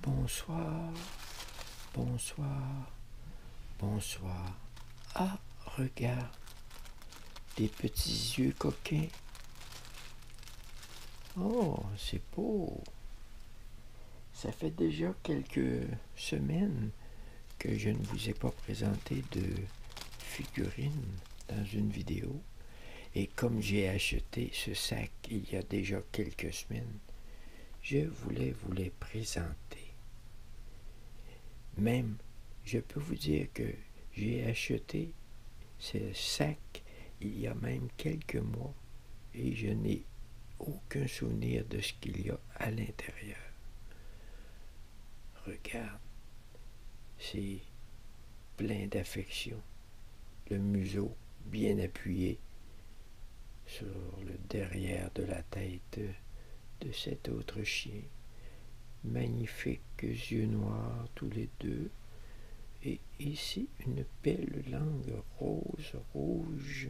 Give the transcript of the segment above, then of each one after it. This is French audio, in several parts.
Bonsoir, bonsoir, bonsoir. Ah, regarde, des petits yeux coquins. Oh, c'est beau. Ça fait déjà quelques semaines que je ne vous ai pas présenté de figurine dans une vidéo. Et comme j'ai acheté ce sac il y a déjà quelques semaines, je voulais vous les présenter. Même, je peux vous dire que j'ai acheté ce sac il y a même quelques mois et je n'ai aucun souvenir de ce qu'il y a à l'intérieur. Regarde, c'est plein d'affection le museau bien appuyé sur le derrière de la tête de cet autre chien. Magnifiques yeux noirs tous les deux. Et ici une belle langue rose rouge.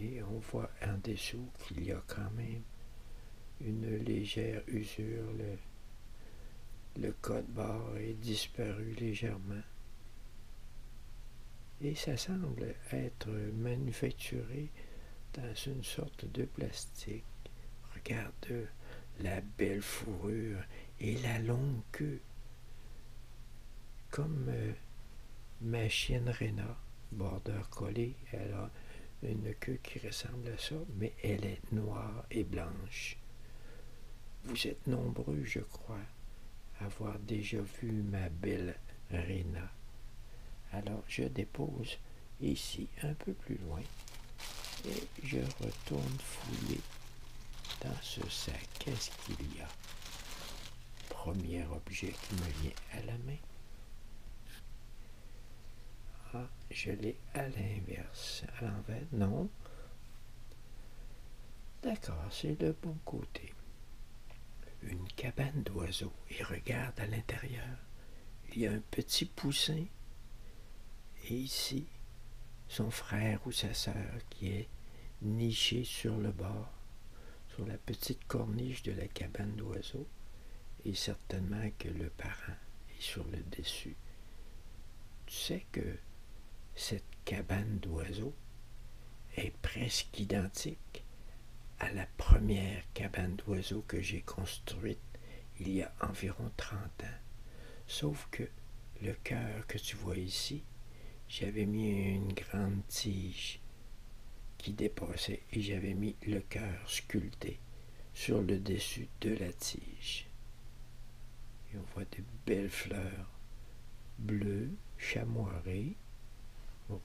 Et on voit en dessous qu'il y a quand même une légère usure. Le code-barre est disparu légèrement et ça semble être manufacturé dans une sorte de plastique. Regarde la belle fourrure et la longue queue. Comme euh, ma chienne Rena, border collé. elle a une queue qui ressemble à ça, mais elle est noire et blanche. Vous êtes nombreux, je crois, à avoir déjà vu ma belle Réna. Alors je dépose ici un peu plus loin et je retourne fouiller dans ce sac. Qu'est-ce qu'il y a Premier objet qui me vient à la main. Ah, je l'ai à l'inverse. À l'envers, non. D'accord, c'est le bon côté. Une cabane d'oiseaux. Et regarde à l'intérieur. Il y a un petit poussin. Et ici, son frère ou sa sœur qui est niché sur le bord, sur la petite corniche de la cabane d'oiseaux. Et que le parent est sur le dessus. Tu sais que cette cabane d'oiseaux est presque identique à la première cabane d'oiseaux que j'ai construite il y a environ 30 ans. Sauf que le cœur que tu vois ici, j'avais mis une grande tige qui dépassait et j'avais mis le cœur sculpté sur le dessus de la tige. Et on voit de belles fleurs bleues, chamoirées,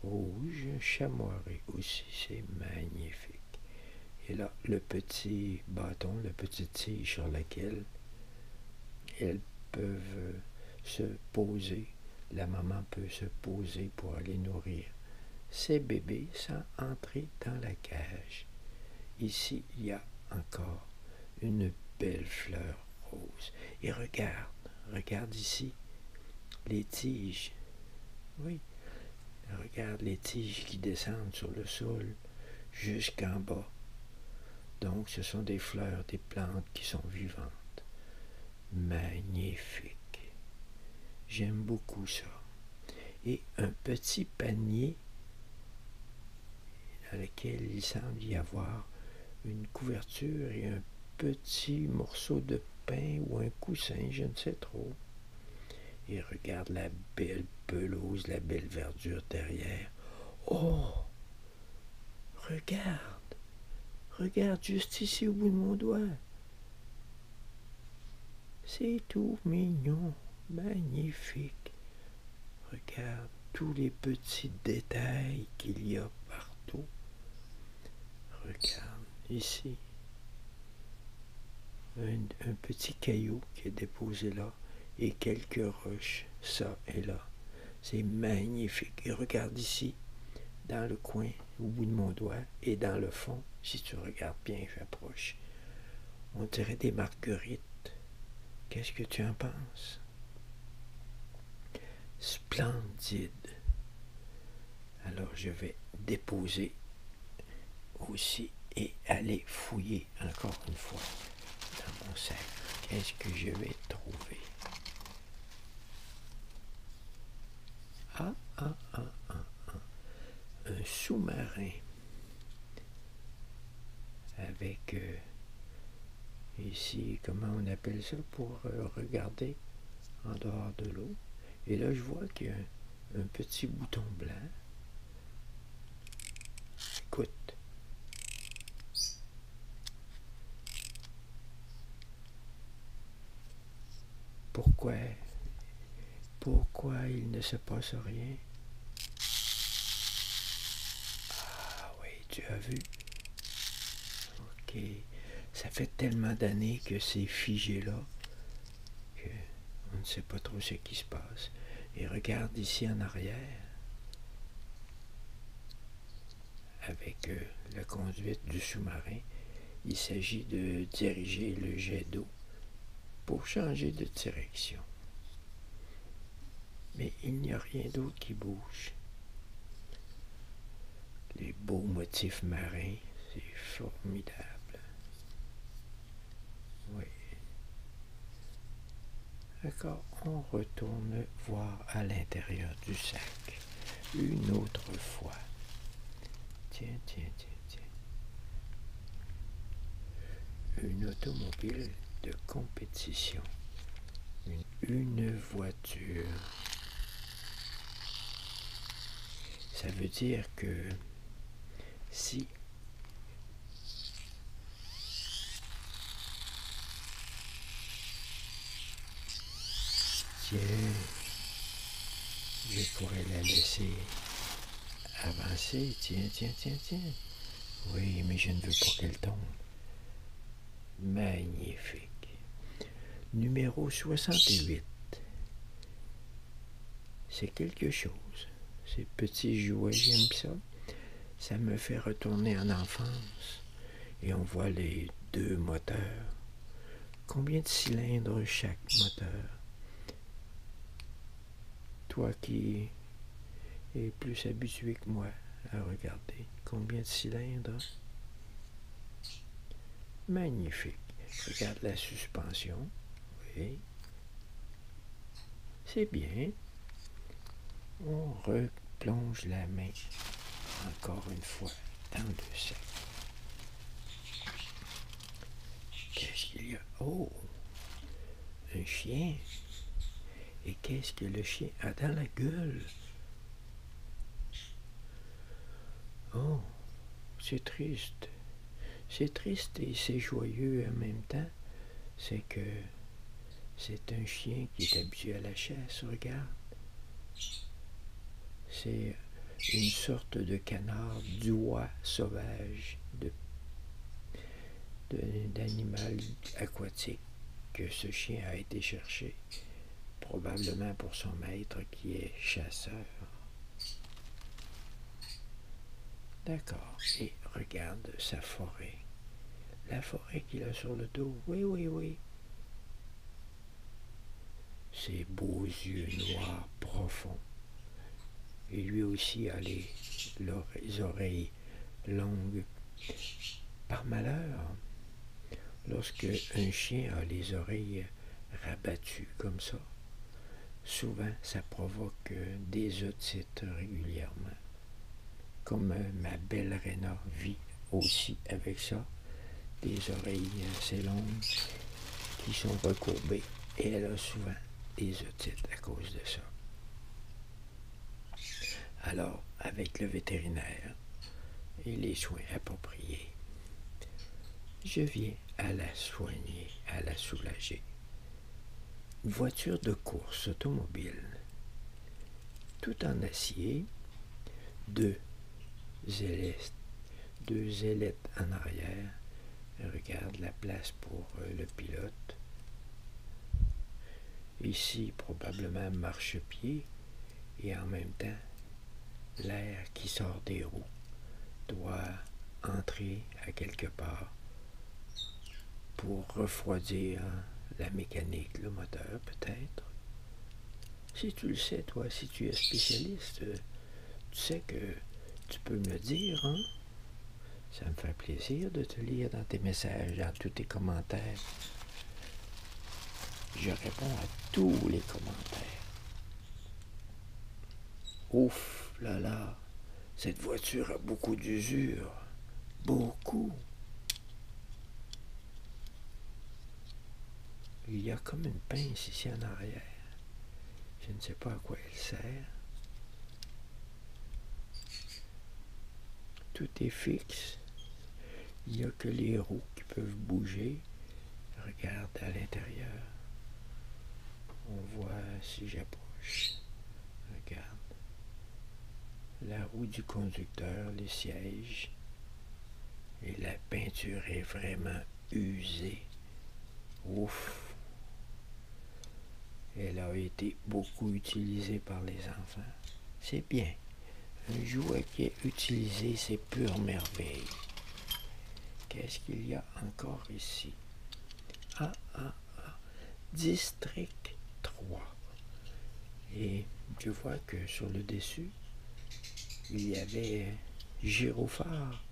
rouges, chamoirées aussi, c'est magnifique. Et là, le petit bâton, la petite tige sur laquelle elles peuvent se poser, la maman peut se poser pour aller nourrir ses bébés sans entrer dans la cage. Ici, il y a encore une belle fleur rose. Et regarde, regarde ici, les tiges. Oui, regarde les tiges qui descendent sur le sol jusqu'en bas. Donc, ce sont des fleurs, des plantes qui sont vivantes. Magnifique. J'aime beaucoup ça. Et un petit panier dans lequel il semble y avoir une couverture et un petit morceau de pain ou un coussin, je ne sais trop. Et regarde la belle pelouse, la belle verdure derrière. Oh Regarde Regarde juste ici au bout de mon doigt. C'est tout mignon, magnifique. Regarde tous les petits détails qu'il y a partout. Regarde ici. Un, petit caillou qui est déposé là et quelques roches, ça et là. C'est magnifique. Et regarde ici, dans le coin, au bout de mon doigt, et dans le fond, si tu regardes bien, j'approche. On dirait des marguerites. Qu'est-ce que tu en penses? Splendide. Alors je vais déposer aussi et aller fouiller encore une fois dans mon sac. Qu'est-ce que je vais trouver? Ah, ah, ah, ah, ah. Un sous-marin avec euh, ici, comment on appelle ça pour euh, regarder en dehors de l'eau. Et là, je vois qu'il y a un, petit bouton blanc. Écoute. Pourquoi pourquoi il ne se passe rien. Ah oui, tu as vu. Ok. Ça fait tellement d'années que c'est figé là que on ne sait pas trop ce qui se passe. Et regarde ici en arrière. Avec euh, la conduite du sous-marin, il s'agit de diriger le jet d'eau pour changer de direction. Mais il n'y a rien d'autre qui bouge. Les beaux motifs marins, c'est formidable. Oui. D'accord, on retourne voir à l'intérieur du sac une autre fois. Tiens, tiens, tiens une automobile de compétition, une, une voiture. Ça veut dire que si je pourrais la laisser avancé, ah ben, tiens, tiens, tiens, tiens. Oui, mais je ne veux pas qu'elle tombe. Magnifique. Numéro 68. C'est quelque chose. Ces petits jouets, j'aime ça. Ça me fait retourner en enfance. Et on voit les deux moteurs. Combien de cylindres chaque moteur toi qui es plus habitué que moi à regarder. Combien de cylindres? Magnifique. Regarde la suspension. Oui. C'est bien. On replonge la main encore une fois dans le sac. Qu'est-ce qu'il y a Oh Un chien Et qu'est-ce que le chien a ah, dans la gueule Oh C'est triste. C'est triste et c'est joyeux en même temps. C'est que c'est un chien qui est habitué à la chasse, regarde. C'est une sorte de canard d'oie sauvage, d'animal de, aquatique que ce chien a été chercher, probablement pour son maître qui est chasseur. D'accord, et regarde sa forêt. La forêt qu'il a sur le dos, oui, oui, oui. Ses beaux yeux noirs profonds et lui aussi a les, oreilles longues. Par malheur, lorsque un chien a les oreilles rabattues comme ça, souvent ça provoque des otites régulièrement. Comme ma belle Réna vit aussi avec ça, des oreilles assez longues qui sont recourbées, et elle a souvent otites à cause de ça. Alors, avec le vétérinaire et les soins appropriés, je viens à la soigner, à la soulager. Voiture de course automobile, tout en acier, deux, deux ailettes en arrière. Regarde la place pour euh, le pilote. Ici, probablement marche-pied et en même temps, l'air qui sort des roues doit entrer à quelque part pour refroidir la mécanique, le moteur peut-être. Si tu le sais, toi, si tu es spécialiste, euh, tu sais que tu peux me dire, hein? Ça me fait plaisir de te lire dans tes messages, dans tous tes commentaires. Je réponds à tous les commentaires. Ouf, là là, cette voiture a beaucoup d'usure. Beaucoup. Il y a comme une pince ici en arrière. Je ne sais pas à quoi elle sert. Tout est fixe. Il n'y a que les roues qui peuvent bouger. Regarde à l'intérieur. On voit si j'approche. Regarde. La roue du conducteur, les sièges. Et la peinture est vraiment usée Ouf. Elle a été beaucoup utilisée par les enfants. C'est bien. Un jouet qui est utilisé, c'est pure merveille. Qu'est-ce qu'il y a encore ici? Ah, ah, ah. District 3. Et tu vois que sur le dessus, il y avait gyrophare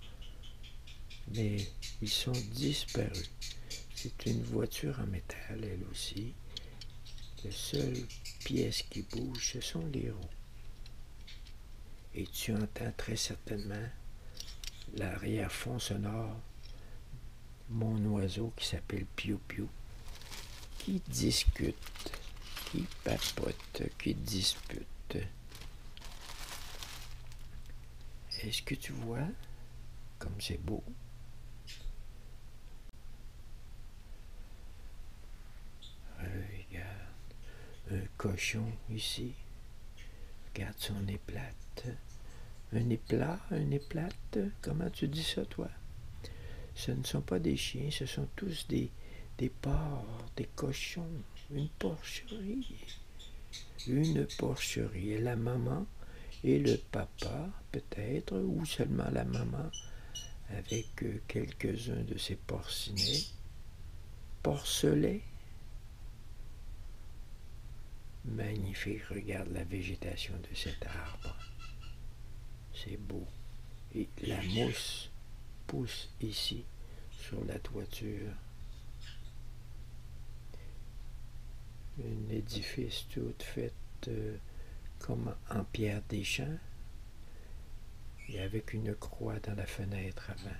mais ils sont disparus. C'est une voiture en métal, elle aussi. La seule pièce qui bouge, ce sont les roues. Et tu entends très certainement l'arrière-fond sonore, mon oiseau qui s'appelle Piu Piu, qui discute, qui papote, qui dispute. Est-ce que tu vois comme c'est beau? Regarde, un cochon ici. Regarde son nez plate. Un éplat, un éplate, comment tu dis ça toi? Ce ne sont pas des chiens, ce sont tous des, des porcs, des cochons une porcherie. Une porcherie. Et la maman et le papa, peut-être, ou seulement la maman, avec euh, quelques-uns de ces porcinets, porcelets. Magnifique, regarde la végétation de cet arbre. C'est beau. Et la mousse pousse ici sur la toiture. Un édifice tout fait euh, comme en pierre des champs et avec une croix dans la fenêtre avant.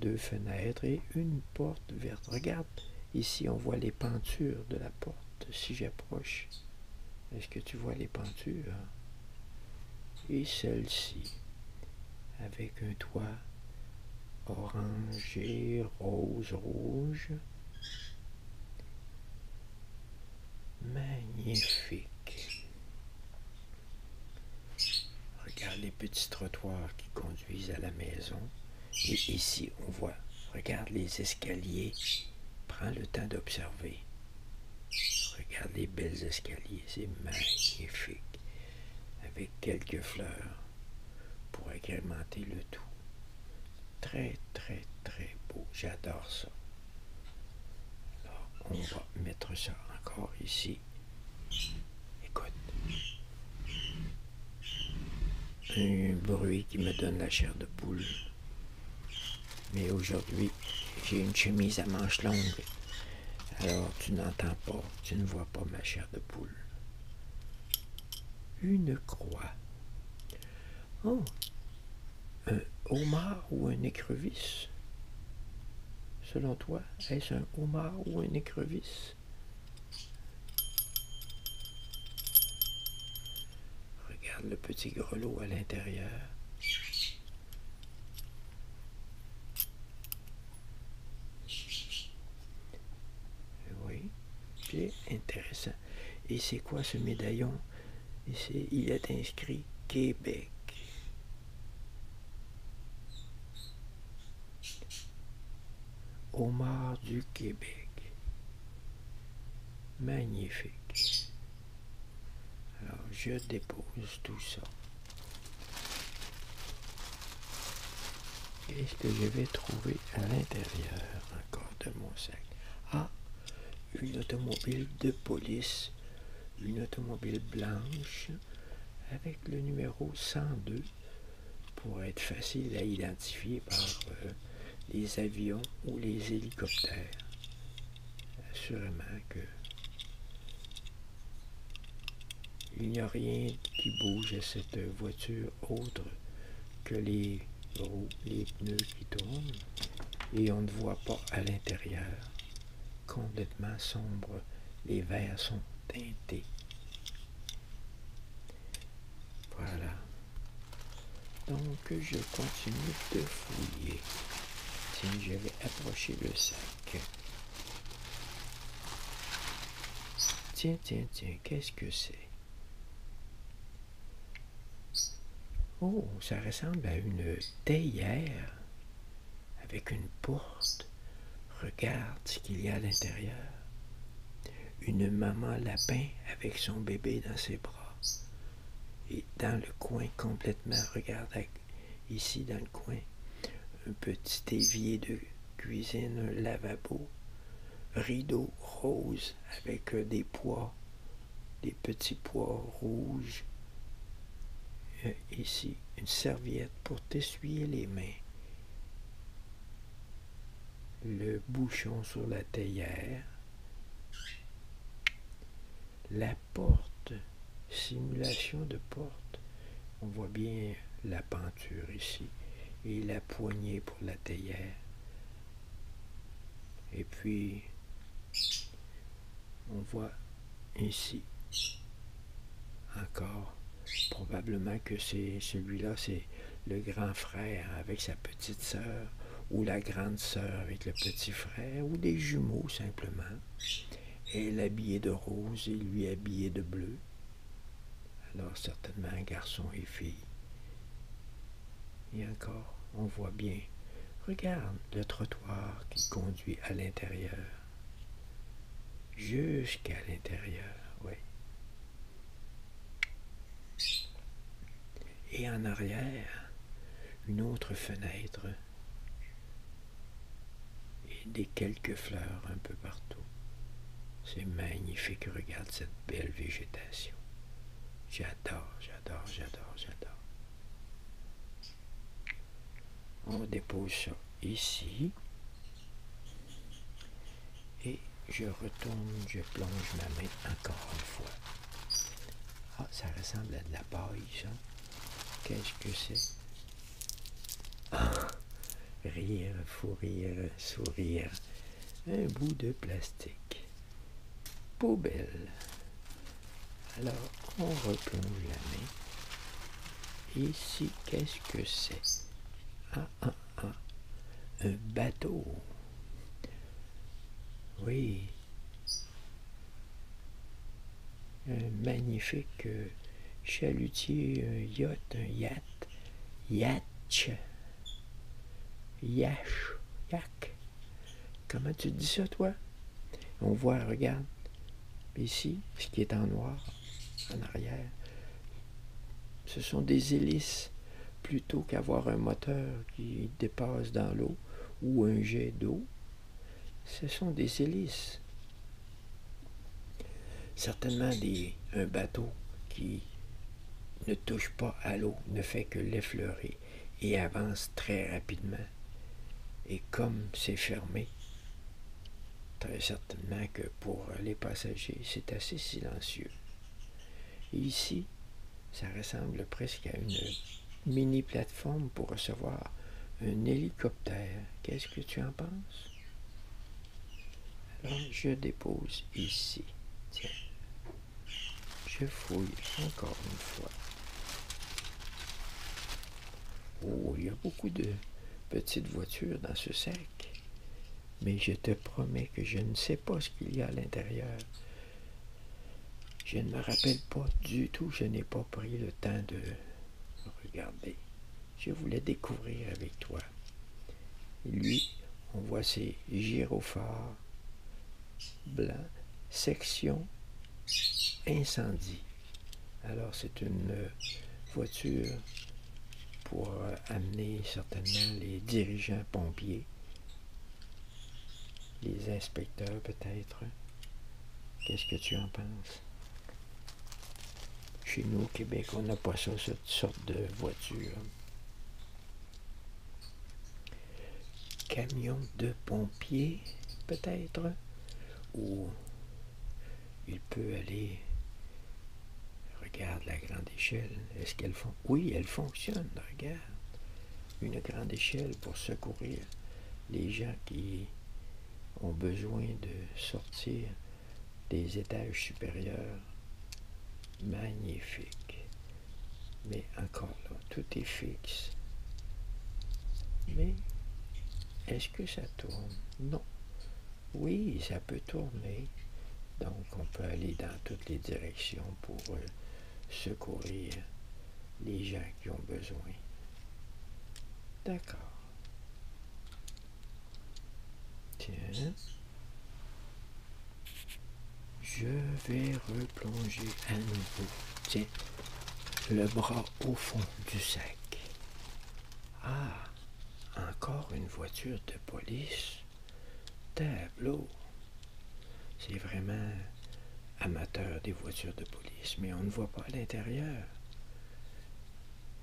Deux fenêtres et une porte verte. Regarde, ici on voit les peintures de la porte si j'approche. Est-ce que tu vois les peintures? et celle-ci avec un toit orangé, rose, rouge. Magnifique. Regarde les petits trottoirs qui conduisent à la maison. Et ici, on voit, regarde les escaliers. Prends le temps d'observer. Regarde les belles escaliers, c'est magnifique avec quelques fleurs pour agrémenter le tout. Très, très, très beau. J'adore ça. Alors, on va mettre ça encore ici. Écoute. Un bruit qui me donne la chair de poule. Mais aujourd'hui, j'ai une chemise à manches longues alors tu n'entends pas, tu ne vois pas ma chair de poule. Une croix. Oh, un homard ou un écrevisse Selon toi, est-ce un homard ou un écrevisse Regarde le petit grelot à l'intérieur. Oui, c'est intéressant. Et c'est quoi ce médaillon il est inscrit Québec. Omar du Québec. Magnifique. Alors, je dépose tout ça. Qu'est-ce que je vais trouver à l'intérieur encore de mon sac? Ah, une automobile de police, une automobile blanche avec le numéro 102 pour être facile à identifier par euh, les avions ou les hélicoptères. Assurément que il n'y a rien qui bouge à cette voiture autre que les roues, les pneus qui tournent, et on ne voit pas à l'intérieur. Complètement sombre, les verres sont teintés. Voilà. Donc je continue de fouiller. Tiens, je vais approcher le sac. Tiens, tiens, tiens, qu'est-ce que c'est Oh, ça ressemble à une théière avec une porte. Regarde ce qu'il y a à l'intérieur. Une maman lapin avec son bébé dans ses bras. Et dans le coin complètement, regarde ici dans le coin, un petit évier de cuisine, un lavabo, rideau rose avec euh, des pois, des petits pois rouges. Euh, ici, une serviette pour t'essuyer les mains. Le bouchon sur la théière la porte, simulation de porte. On voit bien la peinture ici et la poignée pour la théière. Et puis, on voit ici encore, probablement que c'est celui-là, c'est le grand frère avec sa petite sœur ou la grande sœur avec le petit frère ou des jumeaux simplement elle habillée de rose et lui habillé de bleu. Alors certainement un garçon et fille. Et encore, on voit bien. Regarde le trottoir qui conduit à l'intérieur. Jusqu'à l'intérieur, oui. Et en arrière, une autre fenêtre et des quelques fleurs un peu partout. C'est magnifique, regarde cette belle végétation. J'adore, j'adore, j'adore, j'adore. On dépose ça ici. Et je retourne, je plonge ma main encore une fois. Ah, ça ressemble à de la paille, ça. Qu'est-ce que c'est ah, rire, fou rire, sourire, un bout de plastique. Poubelle. Alors, on replonge la main. Ici, qu'est-ce que c'est Ah, ah, ah, un bateau. Oui. Un magnifique euh, chalutier yacht, yacht, yacht, yach, yak. Comment tu dis ça, toi? On voit, regarde, ici, ce qui est en noir, en arrière, ce sont des hélices plutôt qu'avoir un moteur qui dépasse dans l'eau ou un jet d'eau. Ce sont des hélices. Certainement un bateau qui ne touche pas à l'eau, ne fait que l'effleurer et avance très rapidement. Et comme c'est fermé, très certainement que pour les passagers, c'est assez silencieux. ici, ça ressemble presque à une mini-plateforme pour recevoir un hélicoptère. Qu'est-ce que tu en penses? Alors, je dépose ici. Tiens. Je fouille encore une fois. Oh, il y a beaucoup de petites voitures dans ce sac. Mais je te promets que je ne sais pas ce qu'il y a à l'intérieur. Je ne me rappelle pas du tout, je n'ai pas pris le temps de Regardez, je voulais découvrir avec toi. lui, on voit ses gyrophares blancs, section incendie. Alors c'est une euh, voiture pour euh, amener certainement les dirigeants pompiers, les inspecteurs peut-être. Qu'est-ce que tu en penses? Chez nous, au Québec, on n'a pas ça, cette sorte de voiture. Camion de pompier, peut-être, Ou... il peut aller. Regarde la grande échelle. Est-ce qu'elle font Oui, elle fonctionne. Regarde. Une grande échelle pour secourir les gens qui ont besoin de sortir des étages supérieurs. Magnifique. Mais encore là, tout est fixe. Mais est-ce que ça tourne Non. Oui, ça peut tourner. Donc on peut aller dans toutes les directions pour euh, secourir les gens qui ont besoin. D'accord. Tiens. Je vais replonger à nouveau. Tiens, le bras au fond du sac. Ah, encore une voiture de police. Tableau. C'est vraiment amateur des voitures de police, mais on ne voit pas l'intérieur.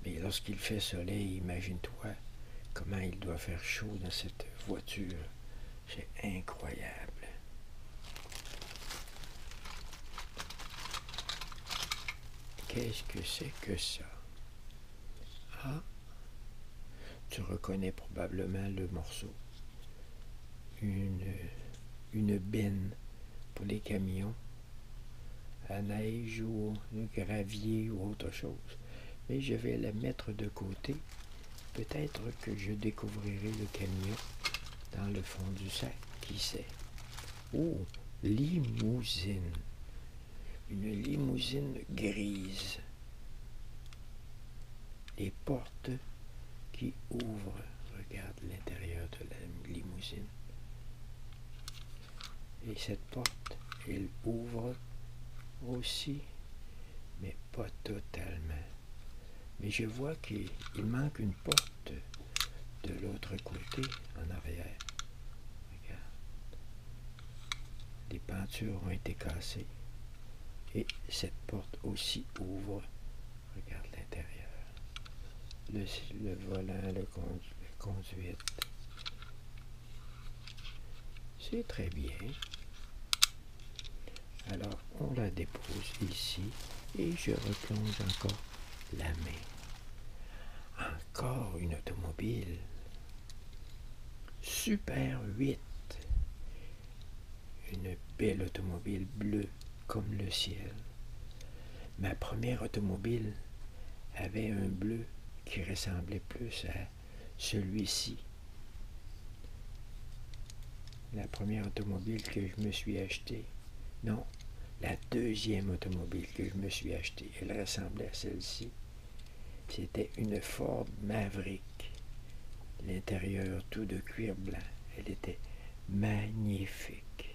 Mais lorsqu'il fait soleil, imagine-toi comment il doit faire chaud dans cette voiture. C'est incroyable. Qu'est-ce que c'est que ça Ah Tu reconnais probablement le morceau. Une, une benne pour les camions, la neige ou le gravier ou autre chose. Mais je vais la mettre de côté. Peut-être que je découvrirai le camion dans le fond du sac, qui sait. Oh, limousine. Une limousine grise. Les portes qui ouvrent regarde l'intérieur de la limousine. Et cette porte, elle ouvre aussi, mais pas totalement. Mais je vois qu'il manque une porte de l'autre côté, en arrière. Regarde. Les peintures ont été cassées. Et cette porte aussi ouvre Regarde l'intérieur. Le, volant, le, conduit. C'est très bien. Alors, on la dépose ici et je replonge encore la main. Encore une automobile. Super 8. Une belle automobile bleue comme le ciel. Ma première automobile avait un bleu qui ressemblait plus à celui-ci. La première automobile que je me suis achetée, non, la deuxième automobile que je me suis achetée, elle ressemblait à celle-ci. C'était une Ford Maverick. L'intérieur tout de cuir blanc. Elle était magnifique.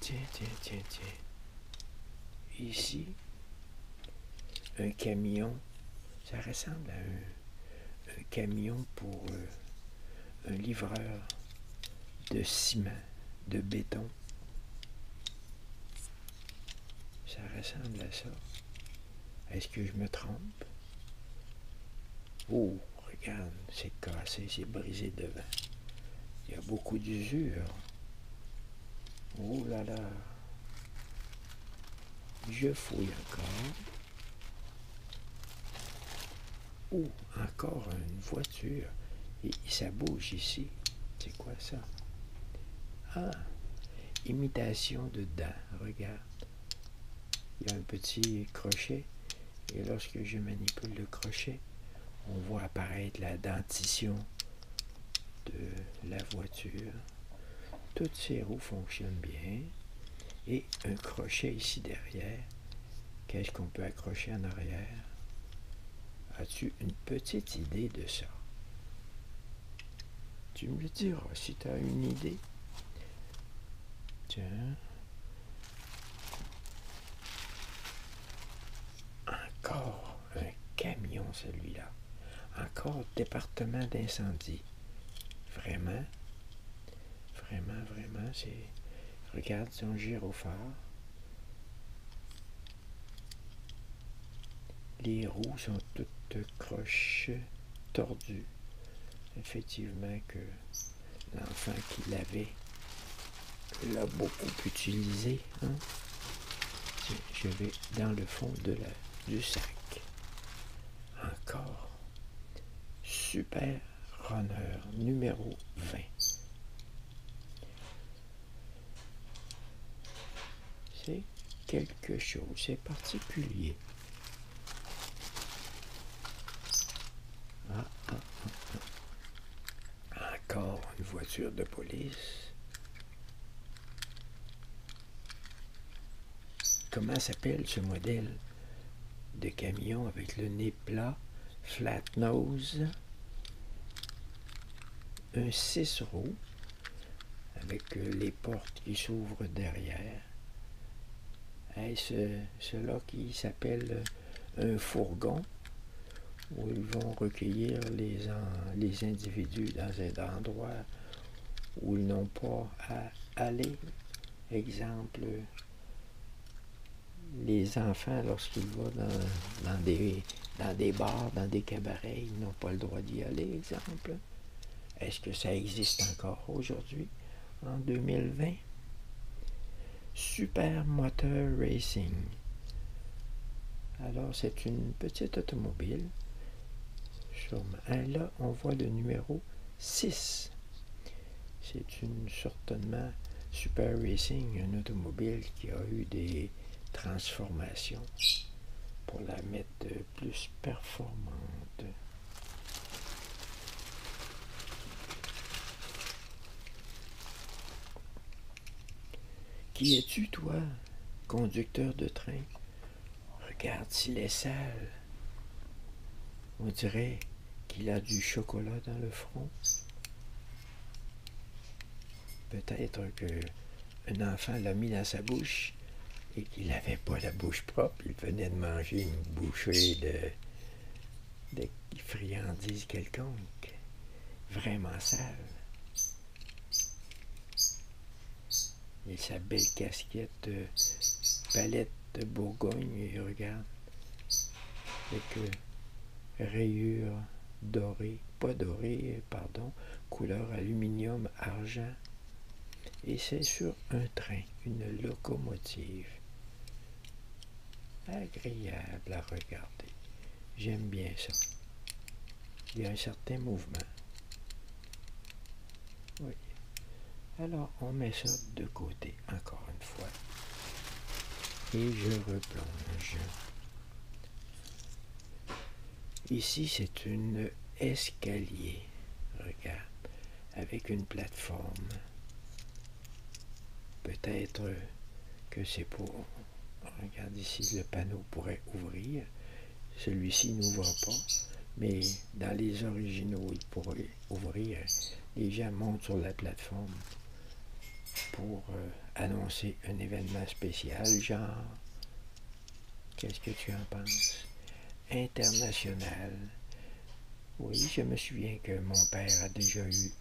Tiens, tiens, tiens, tiens. Ici, un camion. Ça ressemble à un, camion pour euh, un livreur de ciment, de béton. Ça ressemble à ça. Est-ce que je me trompe? Oh, regarde, c'est cassé, c'est brisé devant. Il y a beaucoup d'usure. Oh là là. Je fouille encore. Oh, encore une voiture. Et ça bouge ici. C'est quoi ça? Ah, imitation de dents. Regarde il y a un petit crochet. Et lorsque je manipule le crochet, on voit apparaître la dentition de la voiture. Toutes ces roues fonctionnent bien. Et un crochet ici derrière. Qu'est-ce qu'on peut accrocher en arrière As-tu une petite idée de ça tu me le diras si tu as une idée. Tiens. Encore un camion celui-là. Encore département d'incendie. Vraiment. Vraiment, vraiment, c'est... Regarde son gyrophare les roues sont toutes croches, tordues. Effectivement que l'enfant qui l'avait l'a beaucoup utilisé. Hein. Je vais dans le fond du sac. Encore. Super Runner numéro 20. C'est quelque chose, c'est particulier. Ah, ah, ah, Encore une voiture de police. Comment s'appelle ce modèle de camion avec le nez plat, flat nose, un 6 roues, avec euh, les portes qui s'ouvrent derrière. Est-ce hein, cela qui s'appelle euh, un fourgon, où ils vont recueillir les, les individus dans un endroit où ils n'ont pas à aller. Exemple, les enfants, lorsqu'ils vont dans, des, dans des bars, dans des cabarets, ils n'ont pas le droit d'y aller, exemple. Est-ce que ça existe encore aujourd'hui, en 2020? Super Motor Racing. Alors, c'est une petite automobile. Hein, là, on voit le numéro 6. C'est une certainement Super Racing, une automobile qui a eu des transformations pour la mettre plus performante. Qui es-tu, toi, conducteur de train? Regarde s'il est sale. On dirait qu'il a du chocolat dans le front. Peut-être que un enfant l'a mis dans sa bouche et qu'il n'avait pas la bouche propre. Il venait de manger une bouchée de, friandises quelconques, vraiment sales. Et sa belle casquette, euh, palette de Bourgogne, regarde, avec euh, rayures dorées, pas dorées, pardon, couleur aluminium, argent. Et c'est sur un train, une locomotive. Agréable à regarder. J'aime bien ça. Il y a un certain mouvement. Alors, on met ça de côté, encore une fois. Et je replonge. Ici, c'est une escalier, regarde, avec une plateforme. Peut-être que c'est pour... Regarde ici, le panneau pourrait ouvrir. Celui-ci n'ouvre pas, mais dans les originaux, il pourrait ouvrir. Les gens montent sur la plateforme pour euh, annoncer un événement spécial, genre Qu'est-ce que tu en penses? International. Oui, je me souviens que mon père a déjà eu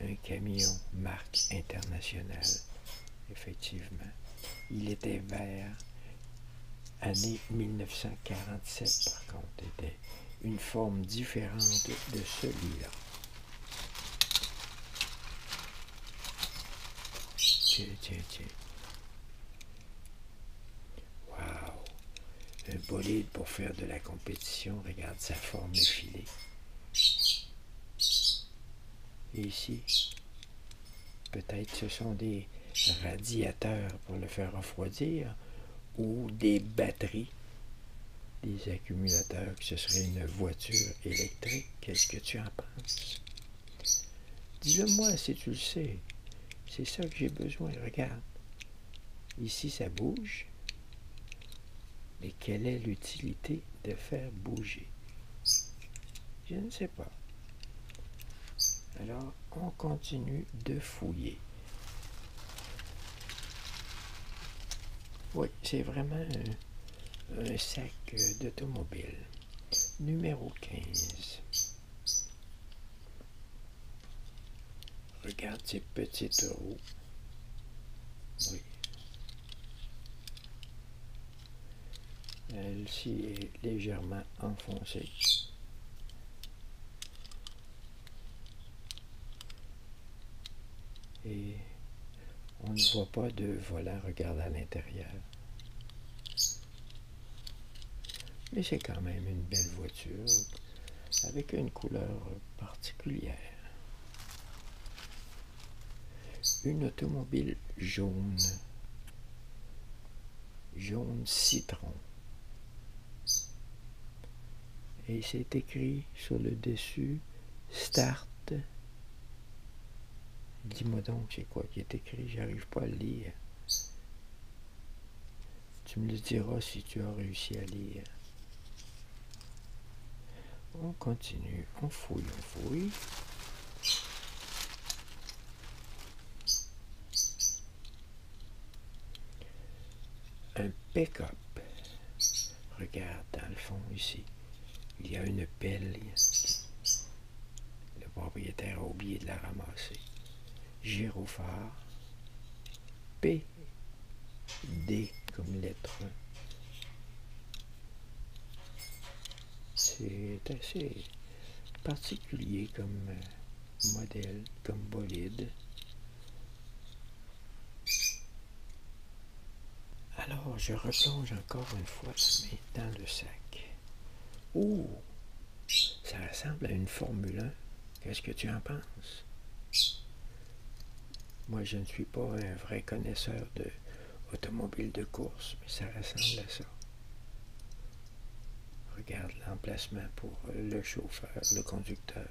un camion marque international. Effectivement. Il était vert. Année 1947, par contre, était une forme différente de celui-là. Tiens, tiens, tiens. Wow! Un bolide pour faire de la compétition. Regarde sa forme effilée. Et ici, peut-être ce sont des radiateurs pour le faire refroidir ou des batteries, des accumulateurs, que ce serait une voiture électrique. Qu'est-ce que tu en penses? Dis-le-moi si tu le sais. C'est ça que j'ai besoin. Regarde. Ici, ça bouge. Mais quelle est l'utilité de faire bouger Je ne sais pas. Alors, on continue de fouiller. Oui, c'est vraiment un, un sac euh, d'automobile. Numéro 15. Regarde ces petites roues, Oui. elle s'y est légèrement enfoncée. Et on ne voit pas de Voilà, regarde à l'intérieur. Mais c'est quand même une belle voiture avec une couleur particulière. Une automobile jaune, jaune citron. Et c'est écrit sur le dessus Start Dis-moi donc, c'est quoi qui est écrit, j'arrive pas à le lire. Tu me le diras si tu as réussi à lire. On continue, on fouille, on fouille. Un pick-up. Regarde dans le fond ici. Il y a une pelle. Le propriétaire a oublié de la ramasser. Gérophare, P. D comme lettre. C'est assez particulier comme euh, modèle, comme bolide. Alors, je replonge encore une fois dans le sac. Ouh! ça ressemble à une Formule 1. Qu'est-ce que tu en penses? Moi, je ne suis pas un vrai connaisseur de de course, mais ça ressemble à ça. Regarde l'emplacement pour le chauffeur, le conducteur.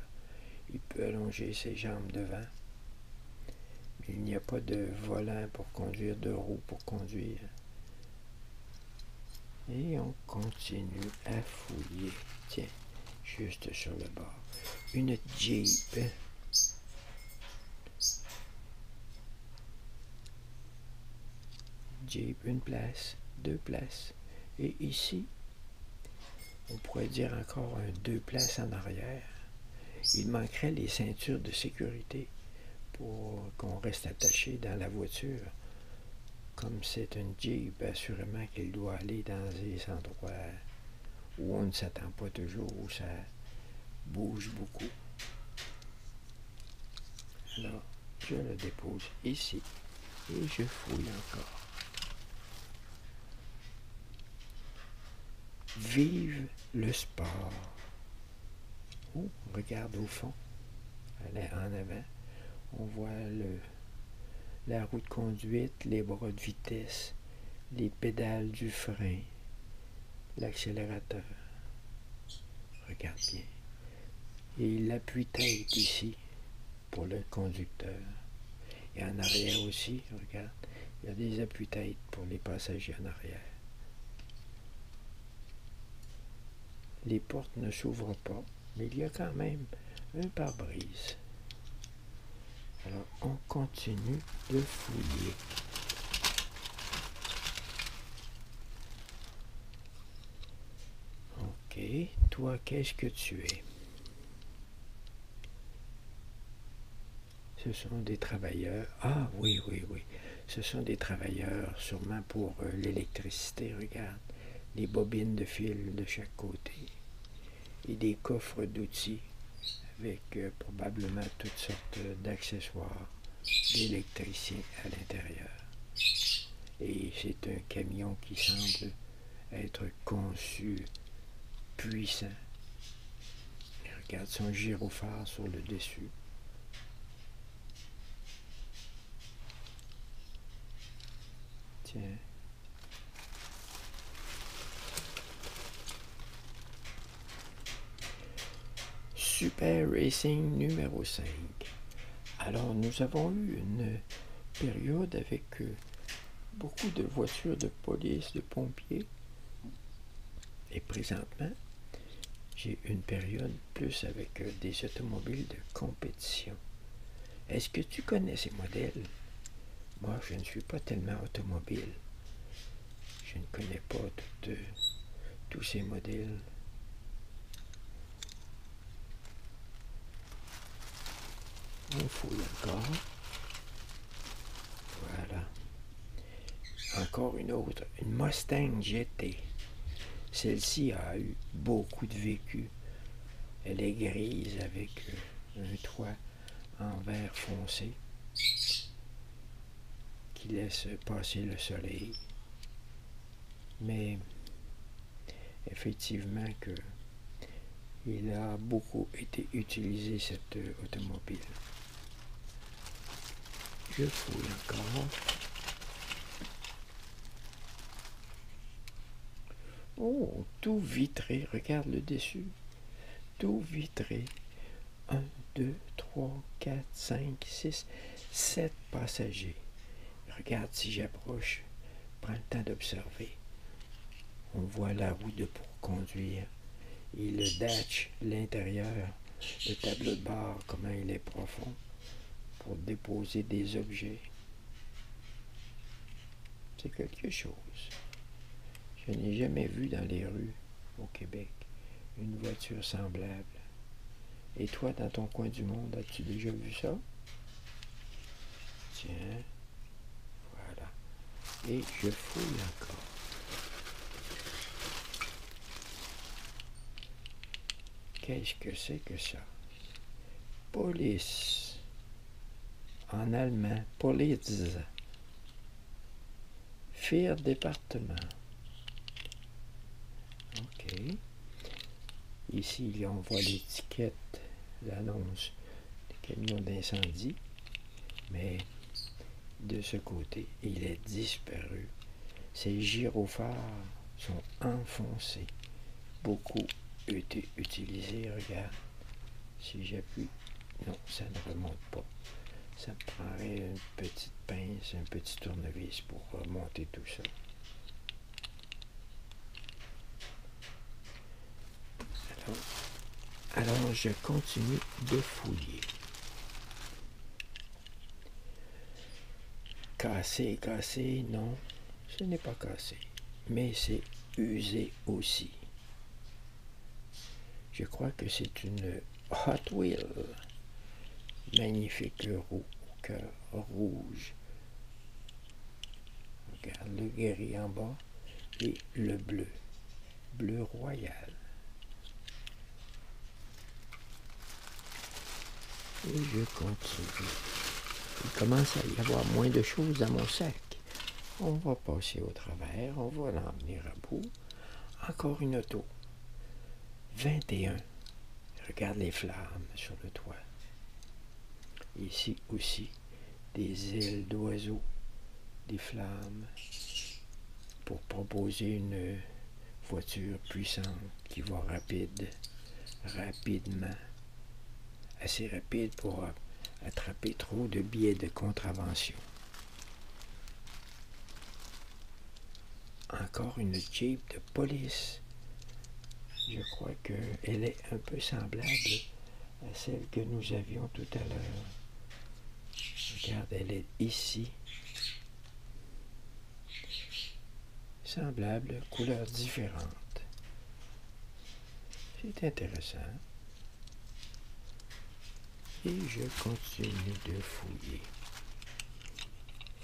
Il peut allonger ses jambes devant. il n'y a pas de volant pour conduire, de roue pour conduire. Et on continue à fouiller. Tiens, juste sur le bord. Une Jeep. Jeep, une place, deux places. Et ici, on pourrait dire encore deux places en arrière. Il manquerait les ceintures de sécurité pour qu'on reste attaché dans la voiture. Comme c'est une Jeep, assurément qu'il doit aller dans des endroits où on ne s'attend pas toujours, où ça bouge beaucoup. Alors, je le dépose ici et je fouille encore. Vive le sport. Oh, regarde au fond, en avant. On voit la roue de conduite, les bras de vitesse, les pédales du frein, l'accélérateur. Regarde bien. Et l'appui-tête ici pour le conducteur. Et en arrière aussi, regarde, il y a des appuie têtes pour les passagers en arrière. Les portes ne s'ouvrent pas, mais il y a quand même un pare-brise. Alors, on continue de fouiller. Ok, toi, qu'est-ce que tu es Ce sont des travailleurs. Ah oui, oui, oui. Ce sont des travailleurs, sûrement pour euh, l'électricité, regarde, des bobines de fil de chaque côté et des coffres d'outils avec euh, probablement toutes sortes euh, d'accessoires d'électricien à l'intérieur. Et c'est un camion qui semble être conçu puissant. regarde son gyrophare sur le dessus. Super Racing numéro 5. Alors nous avons eu une période avec euh, beaucoup de voitures de police, de pompiers. Et présentement, j'ai une période plus avec euh, des automobiles de compétition. Est-ce que tu connais ces modèles? Moi, je ne suis pas tellement automobile. Je ne connais pas euh, tous ces modèles. On fouille encore. Voilà. Encore une autre, une Mustang GT. Celle-ci a eu beaucoup de vécu. Elle est grise avec un toit en vert foncé qui laisse passer le soleil. Mais effectivement que il a beaucoup été utilisé cette automobile. Je fouille encore. Oh, tout vitré, regarde le dessus. Tout vitré. 1, 2, 3, 4, 5, 6, 7 passagers. Regarde si j'approche. Prends le temps d'observer. On voit la roue de pour conduire il datche l'intérieur, le tableau de bord, comment il est profond, pour déposer des objets. C'est quelque chose. Je n'ai jamais vu dans les rues au Québec une voiture semblable. Et toi, dans ton coin du monde, as-tu déjà vu ça? Tiens, voilà. Et je fouille encore. Qu'est-ce que c'est que ça Police. En allemand, polize. Fire département. OK. Ici, on voit l'étiquette, l'annonce des camions d'incendie. Mais de ce côté. Il est disparu. Ces gyrophares sont enfoncés. Beaucoup été utilisés. Regarde, si j'appuie, non, ça ne remonte pas. Ça me prendrait une petite pince, un petit tournevis pour remonter tout ça. alors je continue de fouiller. Cassé, cassé, non, ce n'est pas cassé, mais c'est usé aussi. Je crois que c'est une Hot Wheel. Magnifique le rouge. Regarde le gris en bas et le bleu bleu royal. Et je continue. Il commence à y avoir moins de choses dans mon sac. On va passer au travers, on va l'emmener à bout. Encore une auto. 21. Regarde les flammes sur le toit. Ici aussi, des ailes d'oiseaux, des flammes, pour proposer une voiture puissante qui va rapide, rapidement, assez rapide pour attraper trop de billets de contravention. Encore une Jeep de police. Je crois qu'elle est un peu semblable à celle que nous avions tout à l'heure. Regarde, elle est ici, Semblables, couleurs différentes. C'est intéressant. Et je continue de fouiller.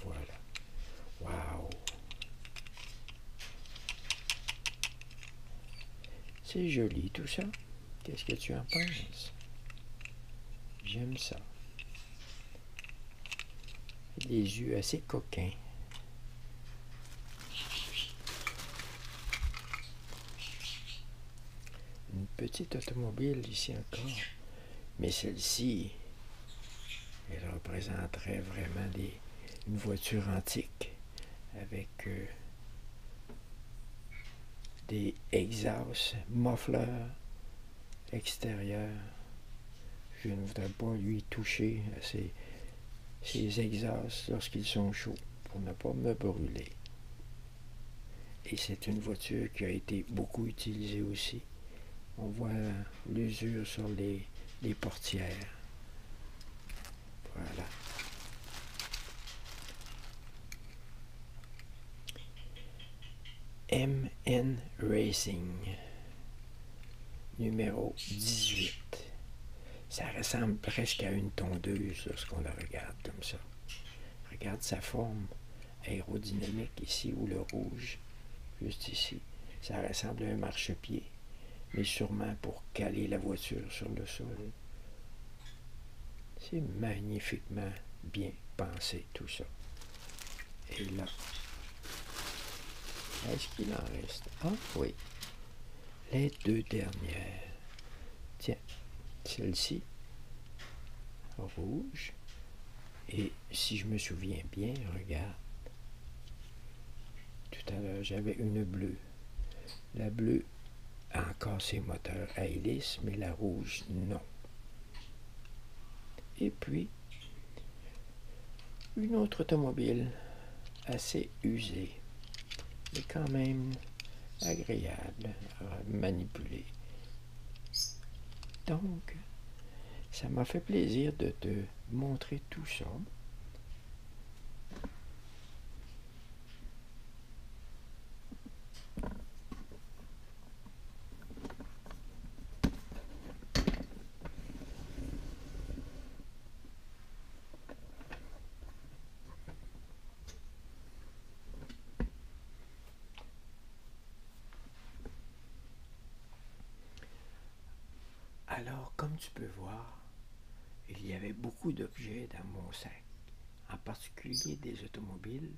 Voilà. Wow! C'est joli tout ça. Qu'est-ce que tu en penses? J'aime ça. Des yeux assez coquins. Une petite automobile ici encore. Mais celle-ci, elle représenterait vraiment des, une voiture antique avec euh, des exhausts, moffleurs extérieurs. Je ne voudrais pas lui toucher à ces exhausts lorsqu'ils sont chauds pour ne pas me brûler. Et c'est une voiture qui a été beaucoup utilisée aussi. On voit l'usure sur les, les portières. Voilà. MN Racing, numéro 18. Ça ressemble presque à une tondeuse lorsqu'on la regarde comme ça. Regarde sa forme aérodynamique ici ou le rouge, juste ici. Ça ressemble à un marchepied, mais sûrement pour caler la voiture sur le sol. C'est magnifiquement bien pensé tout ça. Et là, est-ce qu'il en reste Ah oui, les deux dernières. Tiens, celle-ci, rouge. Et si je me souviens bien, regarde. Tout à l'heure, j'avais une bleue. La bleue, a encore ses moteurs à hélice, mais la rouge, non. Et puis, une autre automobile assez usée, mais quand même agréable à manipuler. Donc, ça m'a fait plaisir de te montrer tout ça. Alors, comme tu peux voir, il y avait beaucoup d'objets dans mon sac en particulier des automobiles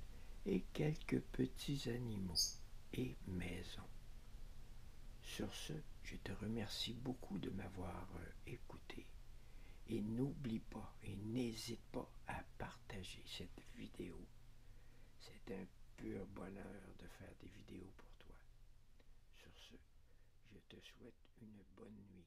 et quelques petits animaux et maisons. Sur ce, je te remercie beaucoup de m'avoir euh, écouté et n'oublie pas et n'hésite pas à partager cette vidéo. C'est un pur bonheur de faire des vidéos pour toi. Sur ce, je te souhaite une bonne nuit.